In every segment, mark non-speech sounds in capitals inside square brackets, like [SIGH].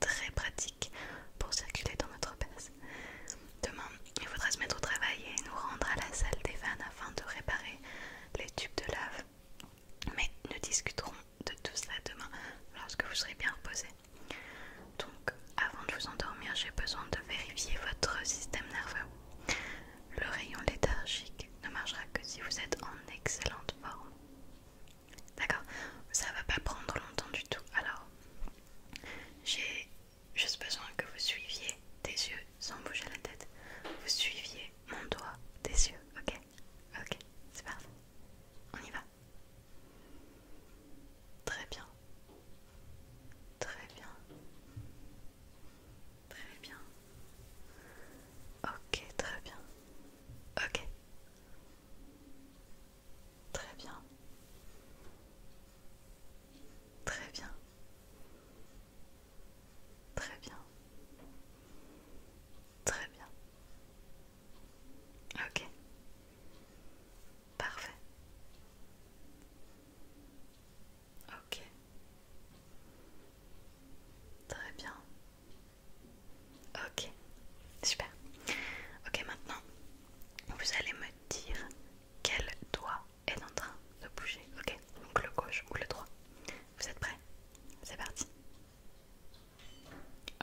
très pratique pour circuler dans notre base. Demain, il faudra se mettre au travail et nous rendre à la salle des vannes afin de réparer les tubes de lave. Mais nous discuterons de tout cela demain lorsque vous serez bien reposé. Donc, avant de vous endormir, j'ai besoin de vérifier votre système nerveux. Le rayon léthargique ne marchera que si vous êtes en excellente forme. D'accord Ça va pas prendre longtemps du tout. Alors, j'ai juste besoin que vous suiviez des yeux sans bouger la tête. Vous suiviez mon doigt des yeux, ok Ok, c'est parfait. On y va. Très bien. Très bien. Très bien. Ok, très bien. Ok. Très bien. Très bien. Très bien. Très bien. Ok. Parfait. Ok. Très bien. Ok, super. Ok, maintenant, vous allez me dire quel doigt est en train de bouger. Ok, donc le gauche ou le droit. Vous êtes prêts C'est parti.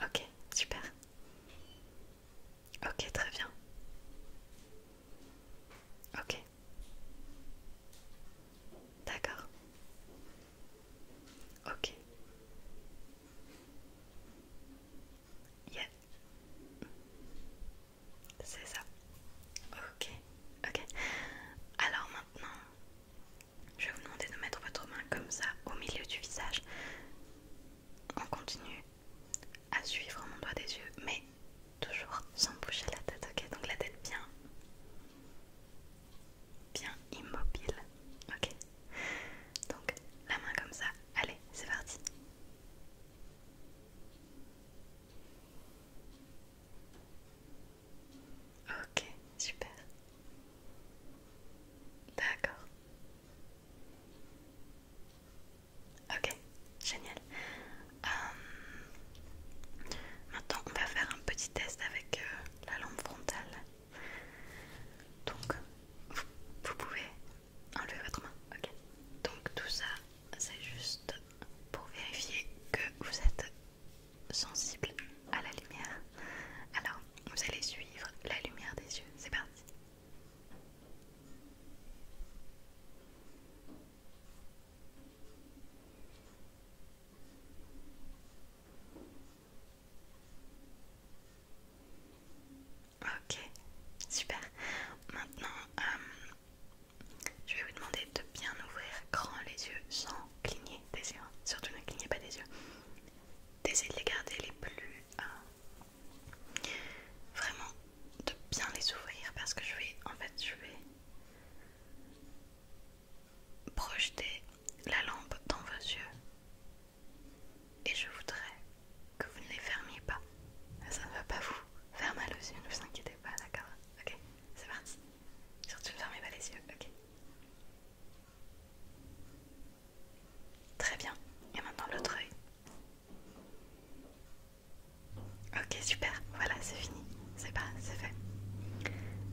Ok, super. Ok, très bien. Ok. D'accord. Ok. Yeah. C'est ça. Ok. Ok. Alors maintenant, je vais vous demander de mettre votre main comme ça au milieu du visage. On continue à suivre mon doigt des yeux, mais toujours sans bouger la tête. Ok. Donc la tête bien bien immobile. Ok Donc la main comme ça. Allez, c'est parti. Ok, super. D'accord. Ok, génial. Euh, maintenant, on va faire un petit test avec euh, la lampe frontale. Donc, vous, pouvez enlever votre main, ok Donc tout ça, c'est juste pour vérifier que vous êtes sensible à la lumière. Alors, vous allez suivre la lumière des yeux. C'est parti. Ok, super. Maintenant, euh, je vais vous demander de bien ouvrir grand les yeux sans cligner des yeux. Hein. Surtout ne clignez pas des yeux. D'essayer de les garder les plus... Euh, vraiment, de bien les ouvrir parce que je vais... En fait, je vais projeter la lampe dans vos yeux et je voudrais que vous ne les fermiez pas. Ça ne va pas vous faire mal aux yeux, ne vous inquiétez pas, d'accord Ok, c'est parti. Surtout ne fermez pas les yeux, ok Très bien, et maintenant l'autre œil. Ok, super, voilà, c'est fini c'est pas, c'est fait.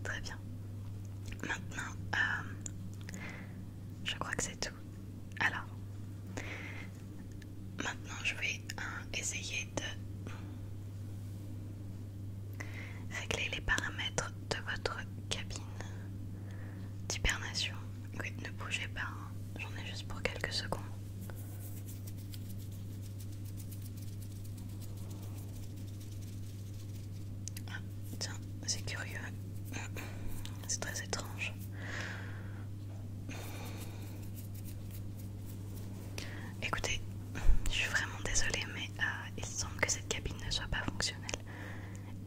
Très bien. Maintenant, euh, je crois que c'est tout. Alors, maintenant je vais euh, essayer de régler les paramètres de votre cabine d'hibernation. Oui, ne bougez pas, hein. j'en ai juste pour quelques secondes. Ah, tiens, c'est curieux. C'est très étrange. Écoutez, je suis vraiment désolée, mais euh, il semble que cette cabine ne soit pas fonctionnelle.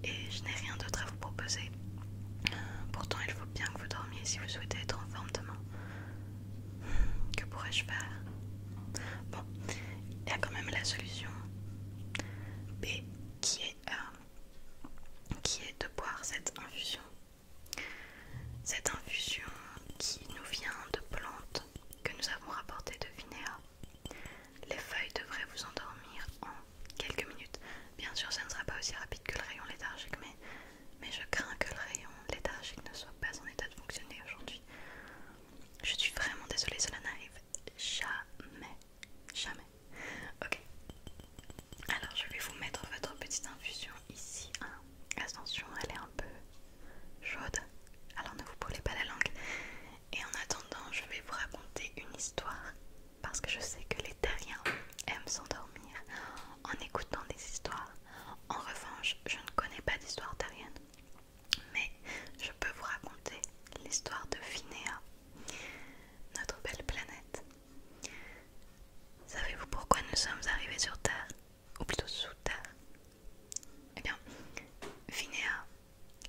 Et je n'ai rien d'autre à vous proposer. Pourtant, il faut bien que vous dormiez si vous souhaitez être en forme demain. Que pourrais-je faire Bon, il y a quand même la solution B qui est, euh, qui est de boire cette infusion. Cette infusion qui nous vient de plantes que nous avons rapportées de Vinéa. Les feuilles devraient vous endormir en quelques minutes. Bien sûr, ça ne sera pas aussi rapide que le rayon léthargique, mais, mais je crains que le rayon léthargique ne soit pas en état de fonctionner aujourd'hui. Je suis vraiment désolée, cela n'arrive jamais, jamais. Ok. Alors je vais vous mettre votre petite infusion ici. Hein. Attention, elle est un peu chaude. Alors ne vous brûlez pas la langue. Et en attendant, je vais vous raconter une histoire. Parce que je sais que les terriens aiment s'endormir en écoutant des histoires. En revanche, je ne connais pas d'histoire terrienne, mais je peux vous raconter l'histoire de Finéa, notre belle planète. Savez-vous pourquoi nous sommes arrivés sur Terre, ou plutôt sous Terre Eh bien, Finéa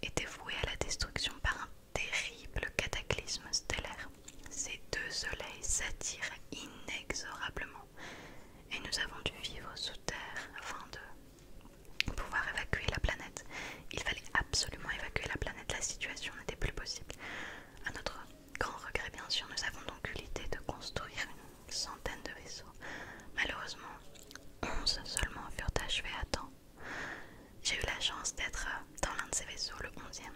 était vouée à la destruction par un terrible cataclysme stellaire. Ces deux soleils s'attirent inexorablement et nous avons dû vivre sous terre afin de pouvoir évacuer la planète. Il fallait absolument évacuer la planète, la situation n'était plus possible. À notre grand regret, bien sûr, nous avons donc eu l'idée de construire une centaine de vaisseaux. Malheureusement, 11 seulement furent achevés à temps. J'ai eu la chance d'être dans l'un de ces vaisseaux, le 11e.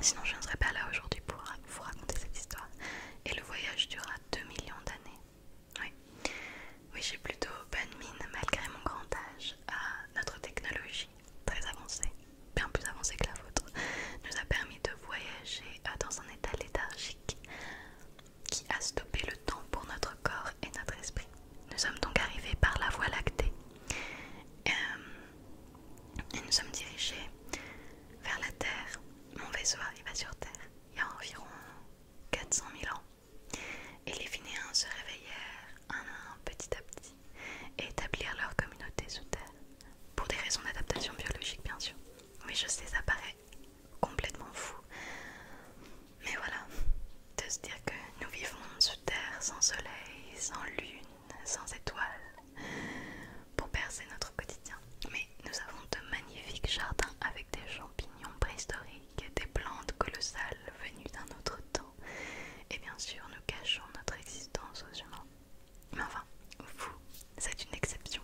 Sinon, je ne serais pas là aujourd'hui pour vous raconter cette histoire et le voyage dura 2 millions d'années. Oui, oui j'ai plutôt bonne mine malgré mon grand âge notre technologie très avancée, bien plus avancée que la vôtre, nous a permis de voyager euh, dans un état léthargique qui a stoppé le temps pour notre corps et notre esprit. Nous sommes donc arrivés par la voie lactée euh, et nous sommes dirigés vers la Terre mon vaisseau arriva sur Terre il y a environ 400 000 ans et les Finéens se réveillèrent un à un petit à petit et établirent leur communauté sous Terre, pour des raisons d'adaptation biologique bien sûr. Oui je sais ça paraît complètement fou, mais voilà, de se dire que nous vivons sous Terre sans soleil, sans lune, sans étoiles pour percer notre quotidien. Mais nous avons de magnifiques jardins avec des champignons préhistoriques, des plantes colossales venues d'un autre temps. Et bien sûr, nous cachons notre existence aux humains. Mais enfin, vous, c'est une exception.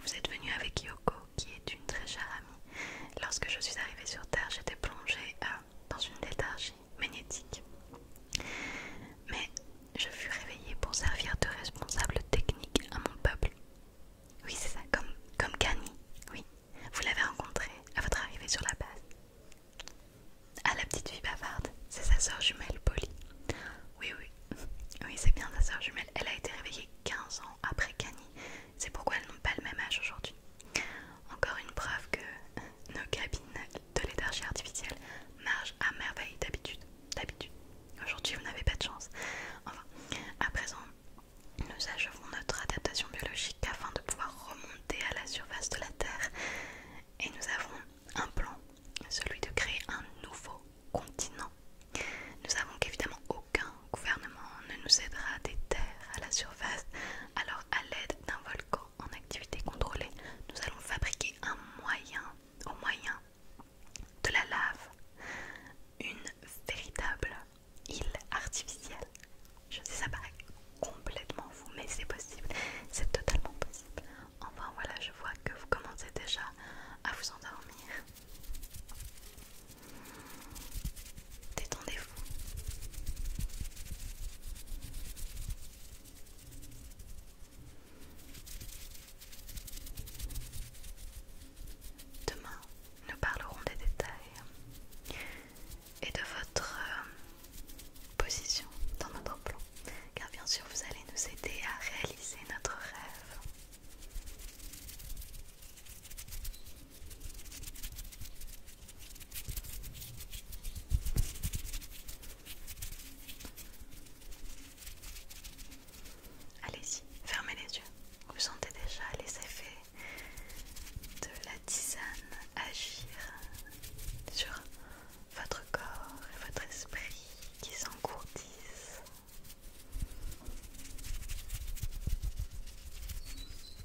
Vous êtes venu avec Yoko, qui est une très chère amie. Lorsque je suis arrivée sur Terre, j'étais plongée euh, dans une léthargie magnétique. Mais je fus réveillée pour servir de responsable technique à mon peuple. Oui, c'est ça, comme, comme Kani, oui. Vous l'avez rencontrée à votre arrivée sur la base. Ah, la petite fille bavarde, c'est sa sœur jumelle, Polly. Oui, oui, [LAUGHS] oui, c'est bien sa sœur jumelle. Elle a été réveillée 15 ans après Kani. C'est pourquoi elles n'ont pas le même âge aujourd'hui. Encore une preuve que euh, nos cabines de l'énergie artificielle marche à merveille d'habitude. D'habitude. Aujourd'hui, vous n'avez pas de chance. Enfin, à présent, nous achevons notre adaptation biologique afin de pouvoir remonter à la surface de la Terre. Et nous avons un plan, celui de créer un nouveau continent. Nous savons qu'évidemment aucun gouvernement ne nous aidera des terres à la surface, alors à l'aide d'un volcan en activité contrôlée, nous allons fabriquer un moyen, au moyen de la lave, une véritable île artificielle. Je sais, ça paraît complètement fou, mais c'est possible, c'est totalement possible. Enfin voilà, je vois que vous commencez déjà à vous endormir. Détendez-vous. Demain, nous parlerons des détails et de votre euh, position dans notre plan, car bien sûr vous allez nous aider à réaliser notre rêve. Allez-y, fermez les yeux. Vous sentez déjà les effets de la tisane agir sur votre corps et votre esprit qui s'engourdissent.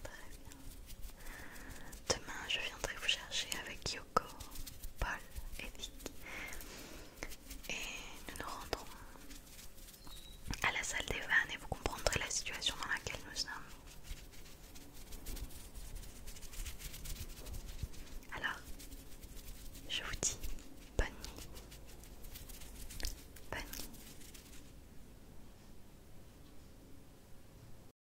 Très bien demain je viendrai vous chercher avec Yoko, Paul et Vic. Et nous nous rendrons à la salle des vannes et vous comprendrez la situation dans laquelle nous sommes. Alors, je vous dis bonne nuit. Bonne nuit.